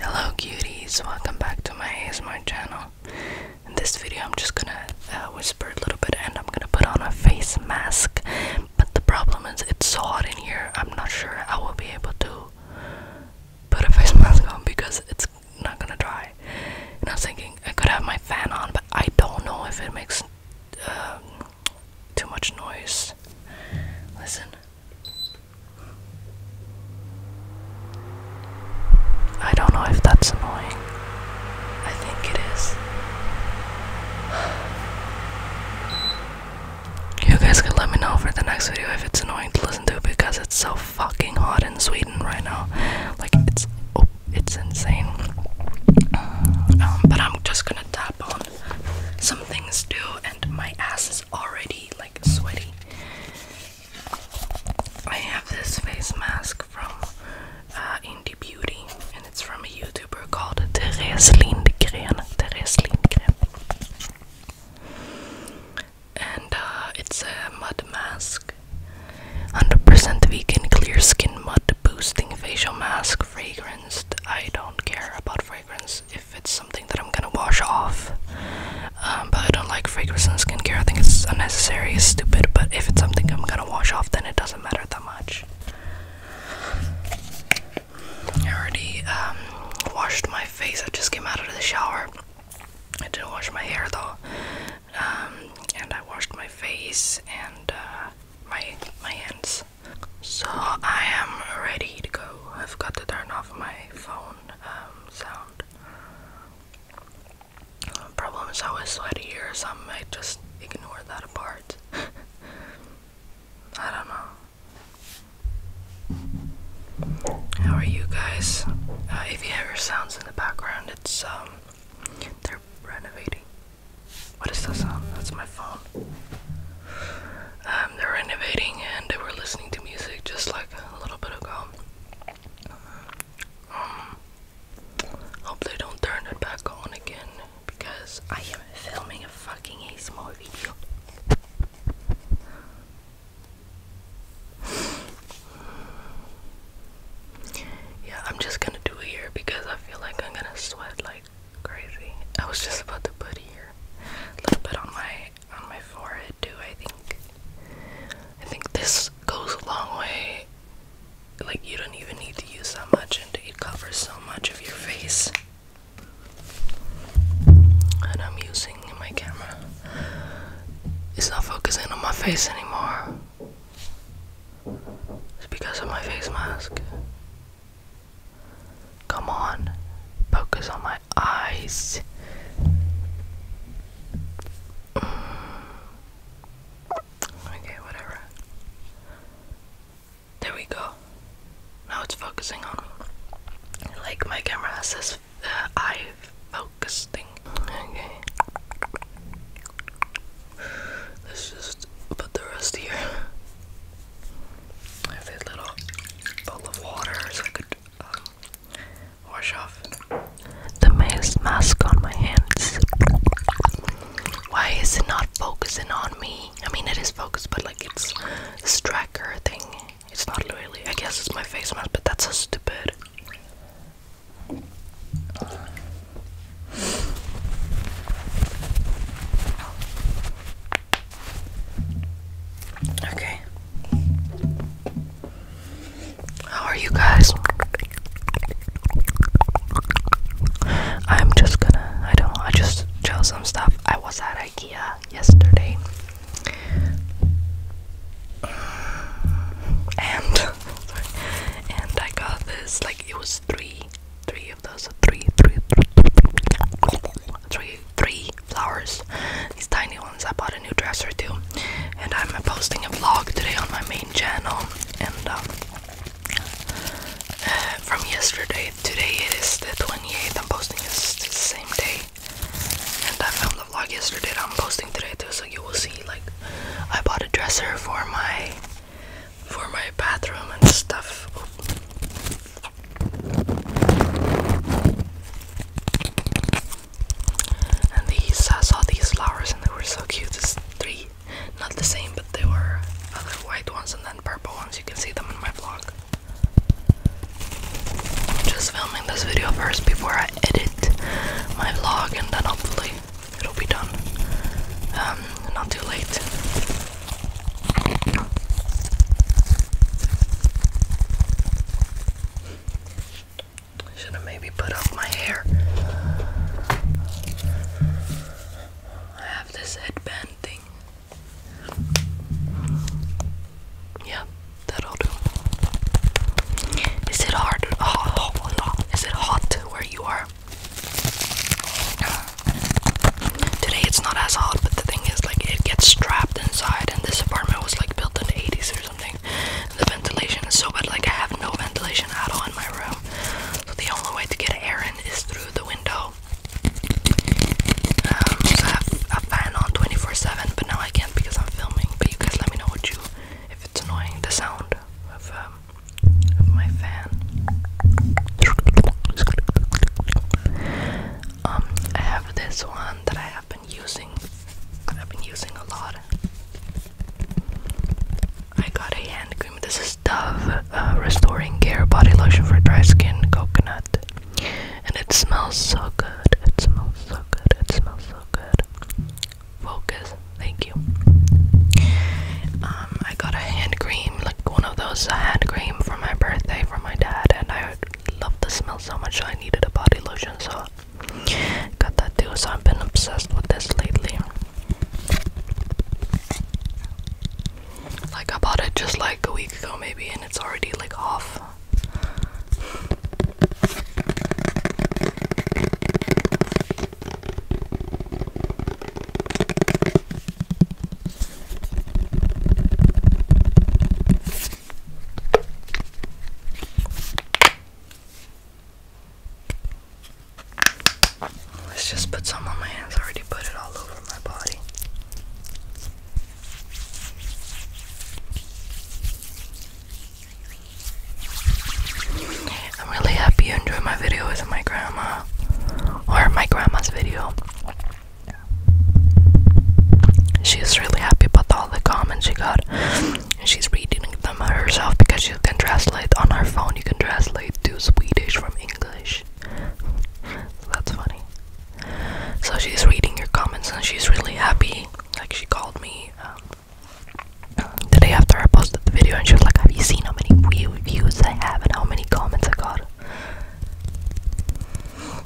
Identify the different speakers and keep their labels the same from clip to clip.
Speaker 1: Hello cuties, welcome back to my ASMR channel. In this video I'm just gonna uh, whisper a little bit and I'm gonna put on a face mask. But the problem is it's so hot in here, I'm not sure I will be able to put a face mask on because it's not gonna dry. And I am thinking I could have my fan on, but I don't know if it makes um, too much noise. Listen. I don't know if that's annoying. I think it is. You guys can let me know for the next video if it's annoying to listen to because it's so fucking hot in Sweden right now. Like it's oh, it's insane. Um, but I'm just gonna tap on some things too, and my ass is already like sweaty. I have this face mask from uh, Indie Beauty, and it's from a YouTuber called Therese Lindgren. And uh, it's a mud mask. 100% vegan, clear skin, mud boosting facial mask, fragrance. I don't care about fragrance if it's something that I'm gonna wash off. Um, but I don't like fragrances and skincare. I think it's unnecessary, it's stupid. But if it's something I'm gonna wash off, then it doesn't matter that much. I already um, washed my face. I just came out of the shower. I didn't wash my hair though, um, and I washed my face and uh, my my hands. So I am ready to go. I've got to turn off my phone sound problem is I was sweaty or something, I just ignored that part. I don't know. How are you guys? Uh, if you hear sounds in the background, it's um, they're renovating. What is that sound? Um, that's my phone. Um, they're renovating and they were listening to music just like a little bit ago. Um, don't turn it back on again because I am filming a fucking ASMR video. yeah, I'm just gonna do it here because I feel like I'm gonna sweat like crazy. I was just about to put here a little bit on my on my forehead good I think. I think this goes a long way. Like, you don't even need to use that much, and it covers so much of your face. And I'm using my camera. It's not focusing on my face anymore. It's because of my face mask. Come on, focus on my eyes. Mm. Okay, whatever. There we go. Now it's focusing on Like my camera has eye focus Okay. Let's just put the rest here. I have a little bowl of water so I could um, wash off the mask on my hands. Why is it not focusing on me? I mean, it is focused, but like it's this tracker thing. It's not really. I guess it's my face mask, but that's so stupid. Okay. How are you guys? I'm just gonna, I don't I just chose some stuff. I was at IKEA yesterday. And, and I got this, like, it was three, three of those, three, three, three, three, three, three flowers. These tiny ones. I bought a new dresser too. And I'm posting a vlog today on my main channel. And uh, uh, from yesterday, today it is the 28th. I'm posting this the same day. And I filmed the vlog yesterday that I'm posting today too. So you will see like I bought a dresser for my for my bathroom and stuff. And these, I saw these flowers and they were so cute. There's three, not the same, but there were other white ones and then purple ones. You can see them in my vlog. I'm just filming this video first before I edit my vlog and then hopefully it'll be done. Um, not too late. Should have maybe put up my hair. I have this headband thing. Yeah, that'll do. Is it hard? Oh, is it hot where you are? Today it's not as hot, but the thing is, like, it gets trapped inside, and this apartment was like built in the 80s or something. The ventilation is so bad, like I have no ventilation at all in my room. So the only way to get air in is through the window. Um, I have a fan on 24/7, but now I can't because I'm filming. But you guys, let me know what you if it's annoying the sound of um, of my fan. Um, I have this one that I I've been using. I've been using a lot. I got a hand cream. This is Dove uh, Restoring Care Body Lotion for Dry Skin Coconut. And it smells so good. It smells so good. It smells so good. Focus. Thank you. Um, I got a hand cream, like one of those hand cream for my birthday from my dad, and I loved the smell so much. I needed a body lotion, so Got that too, so I've been obsessed with this lately. Like I bought it just like a week ago maybe and it's already like off. Let's just put some on my hands. already put it all over my body. I'm really happy you enjoyed my video with my grandma or my grandma's video. She's really happy about all the comments she got she's reading them herself because you can translate on her phone. You can translate to Swedish from English. That's funny. So she's reading your comments and she's really happy. Like she called me um, the day after I posted the video and she's like, "Have you seen how many views I have and how many comments I got?"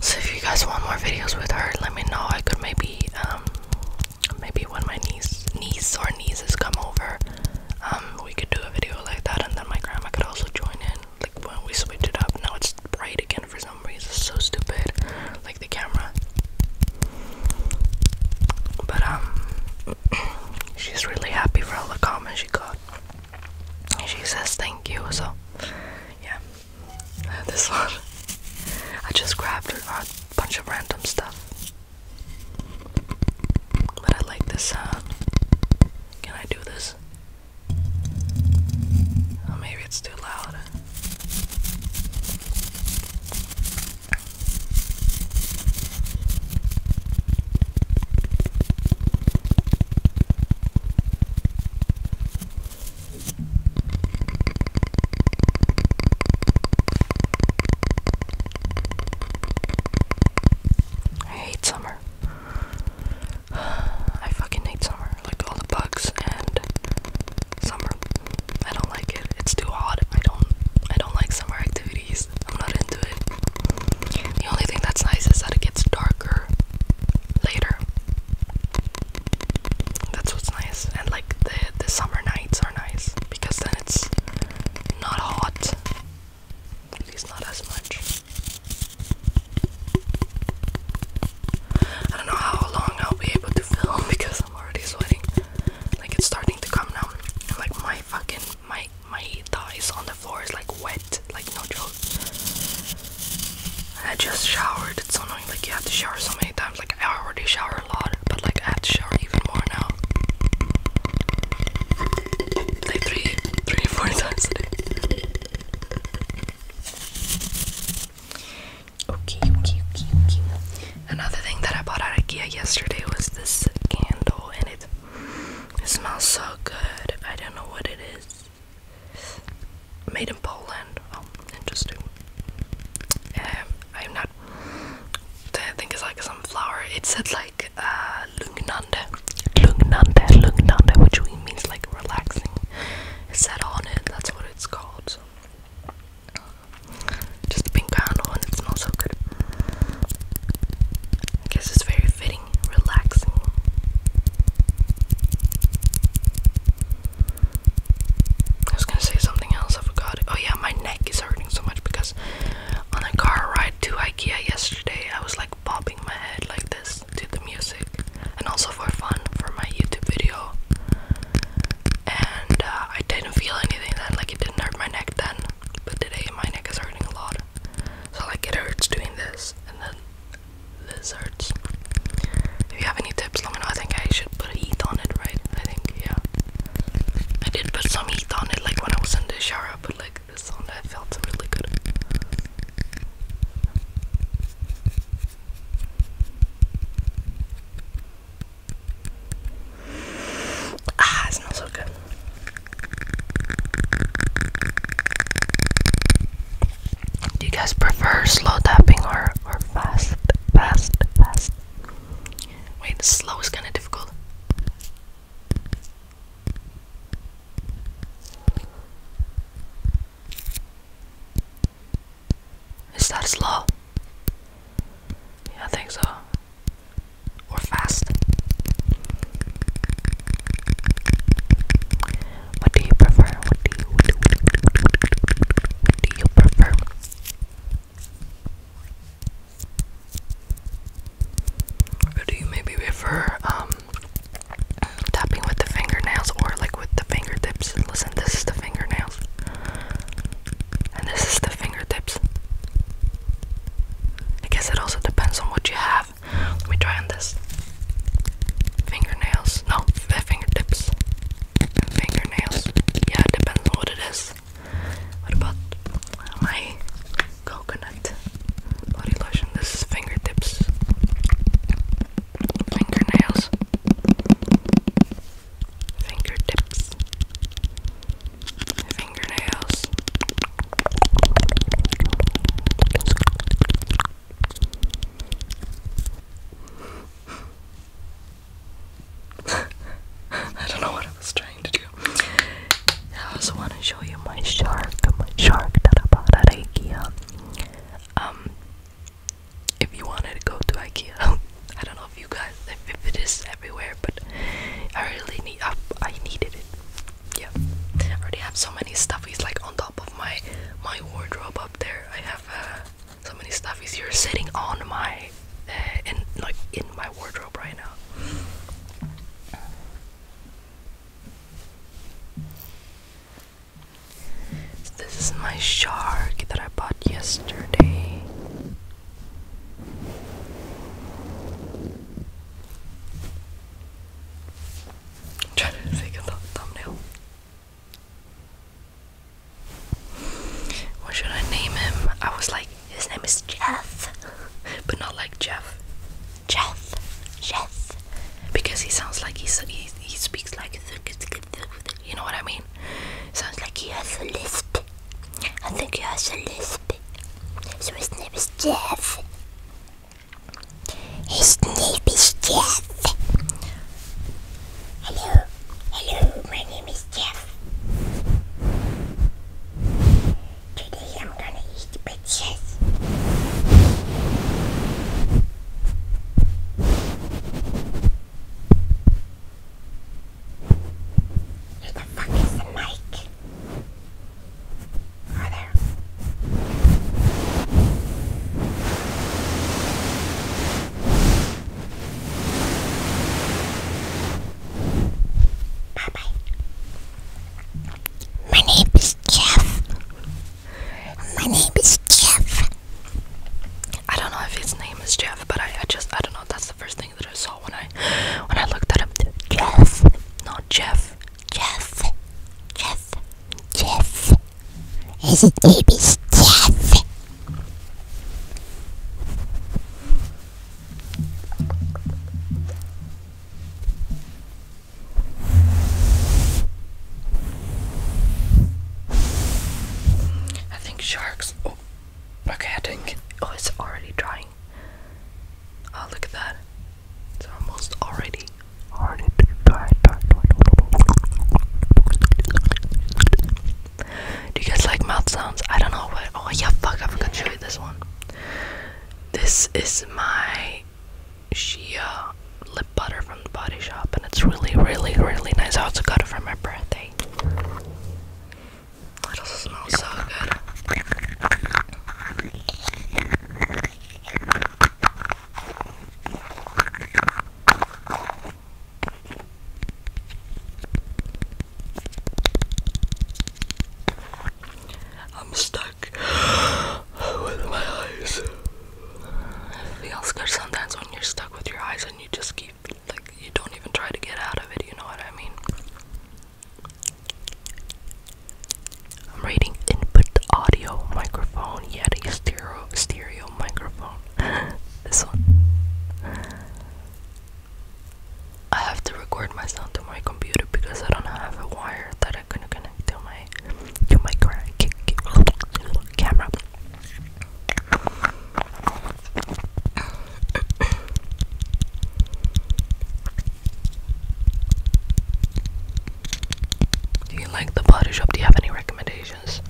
Speaker 1: So if you guys want more videos with her, let me know. I could maybe um, maybe when my niece niece or nieces come over, um, we could do a video like that and then my grandma could also join in. Like when we switch it up, now it's bright again for some reason. It's so stupid. Like the camera. But um she's really happy for all the comments she got. She says thank you, so yeah. This one. I just grabbed a bunch of random stuff. But I like this sound. Uh, can I do this? Oh, maybe it's too loud. I hate summer. I fucking hate summer. Like all the bugs and summer. I don't like it. It's too hot. I don't I don't like summer activities. I'm not into it. The only thing that's nice is that it gets darker later. That's what's nice. And like the the summer nights are nice because then it's not hot. At least not as much. I don't know how long I'll be able to film because I'm already sweating. Like it's starting to come down. And like my fucking my my thighs on the floor is like wet. Like no joke. I just showered. It's so annoying. Like you have to shower so many times. Like I already shower a lot, but like I have to shower even more now. Like three, three, four times a day. Okay, okay, okay, okay. Another thing that I bought at IKEA yesterday was this candle, and it, it smells so good. I don't know what it is made in Poland. Oh, interesting. Um, I'm not. I think it's like some flower. It said like uh, Lungnande, Lungnande, Lungnande, which means like relaxing. It said on it. That's what it's called. Just a pink candle and it smells so good. I guess it's very fitting, relaxing. I was gonna say something else, I forgot Oh yeah, my neck is hurting so much because on a car ride to IKEA yesterday I was like bobbing my head like this to the music and also for fun for my YouTube video. And uh, I didn't feel anything then, like it didn't hurt my neck then. But today my neck is hurting a lot. So like it hurts doing this and then this hurts. If you have any tips, let me know. I think I should put heat on it, right? I think, yeah. I did put some heat on it, like when I was in the shower. I like this on. That felt really good. Ah, it smells so good. Do you guys prefer slow tapping or we're fast, fast, fast. Wait, slow is kind of difficult. Is that slow? Yeah, I think so. We're fast. What do you prefer? What do you, what do you prefer? do you maybe prefer um, tapping with the fingernails or like with the fingertips? Listen, this is the fingernails, and this is the fingertips. I guess it also depends on what you have. Let me try on this. Fingernails. No, fingertips, fingernails. Yeah, it on what it is. What about my coconut body lotion? This is fingertips, fingernails, fingertips, fingernails. I don't know what I was trying to do. I also want to show you my shark, my shark that I bought at IKEA. Um, if you wanted to go to IKEA, I don't know if you guys, if, it is everywhere, but I really need, I, I needed it. Yeah, I already have so many stuffies like on top of my my wardrobe up there. I have a uh, so many stuff is here sitting on my uh, like in my wardrobe right now. this is my shark that I bought yesterday. trying to think of thumbnail. What should I name him? I was like, his name is Jeff, but not like Jeff. Jeff, Jeff, because he sounds like he's, he he speaks like you know what I mean. Sounds like he has a lisp. I think he has a lisp. So his name is Jeff. His name is Jeff. Hello, hello, my name is Jeff. Today I'm gonna eat bitches. Where the fuck is the mic? Oh, there. Bye bye. My name is Jeff. My name is Jeff. I don't know if his name is Jeff, but I, I just I don't know. That's the first thing that I saw when I when I looked at him. Jeff, not Jeff. Jeff, Jeff, Jeff. His name is Jeff. I think sharks. Oh, okay. I think. Oh, it's already drying. Oh, look at that. It's almost already already dry. Do you guys like mouth sounds? I don't know what. Oh, yeah, fuck, I forgot to show you this one. This is my Shea lip butter from the body shop, and it's really, really, really nice. I also got it for my birthday. It also smells so good. I'm stuck with my eyes. It feels sometimes when you're stuck with your eyes and you just keep, like, you don't even try to get out of it, you know what I mean? I'm reading input audio microphone, Yeti stereo, stereo microphone. this one. I have to record my sound to my computer because I don't have a wire that I can connect to my to my camera. Do you like the body shop? Do you have any recommendations?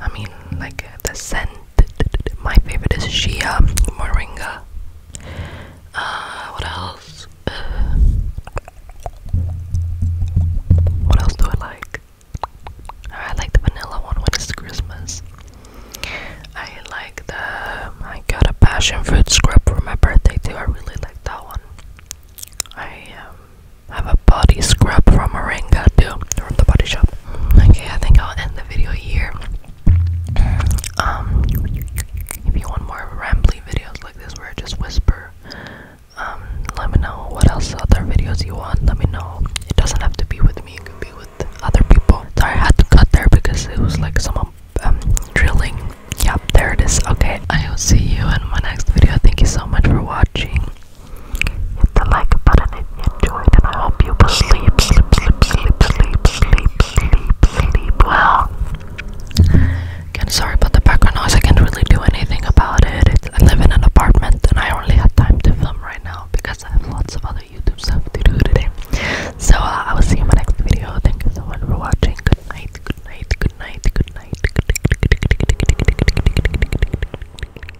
Speaker 1: I mean, like uh, the scent my favorite is Shia Moringa. Uh, what else? Uh, what else do I like? I like the vanilla one when it's Christmas. I like the. I got a passion fruit scrub for my birthday too. I really like that one. I um, have a body scrub from Moringa too, from the body shop. Okay, I think I'll end the video here. Um, if you want more rambly videos like this where I just whisper, um, let me know what else other videos you want. Let me know. It doesn't have to be with me. It could be with other people. Sorry, I had to cut there because it was like someone um, drilling. Yep, there it is. Okay, I will see you in my next video. Thank you so much for watching. Hit the like button if you enjoyed, and I hope you will sleep, sleep, sleep, sleep, sleep, sleep, sleep, sleep well. Again, sorry about the background noise. I can't really do anything about it. It's, I live in an apartment, and I only have time to film right now because I have lots of other YouTube stuff to do today. So uh, I will see you in my next video. Thank you so much for watching. Good night. Good night. Good night. Good night. Good night.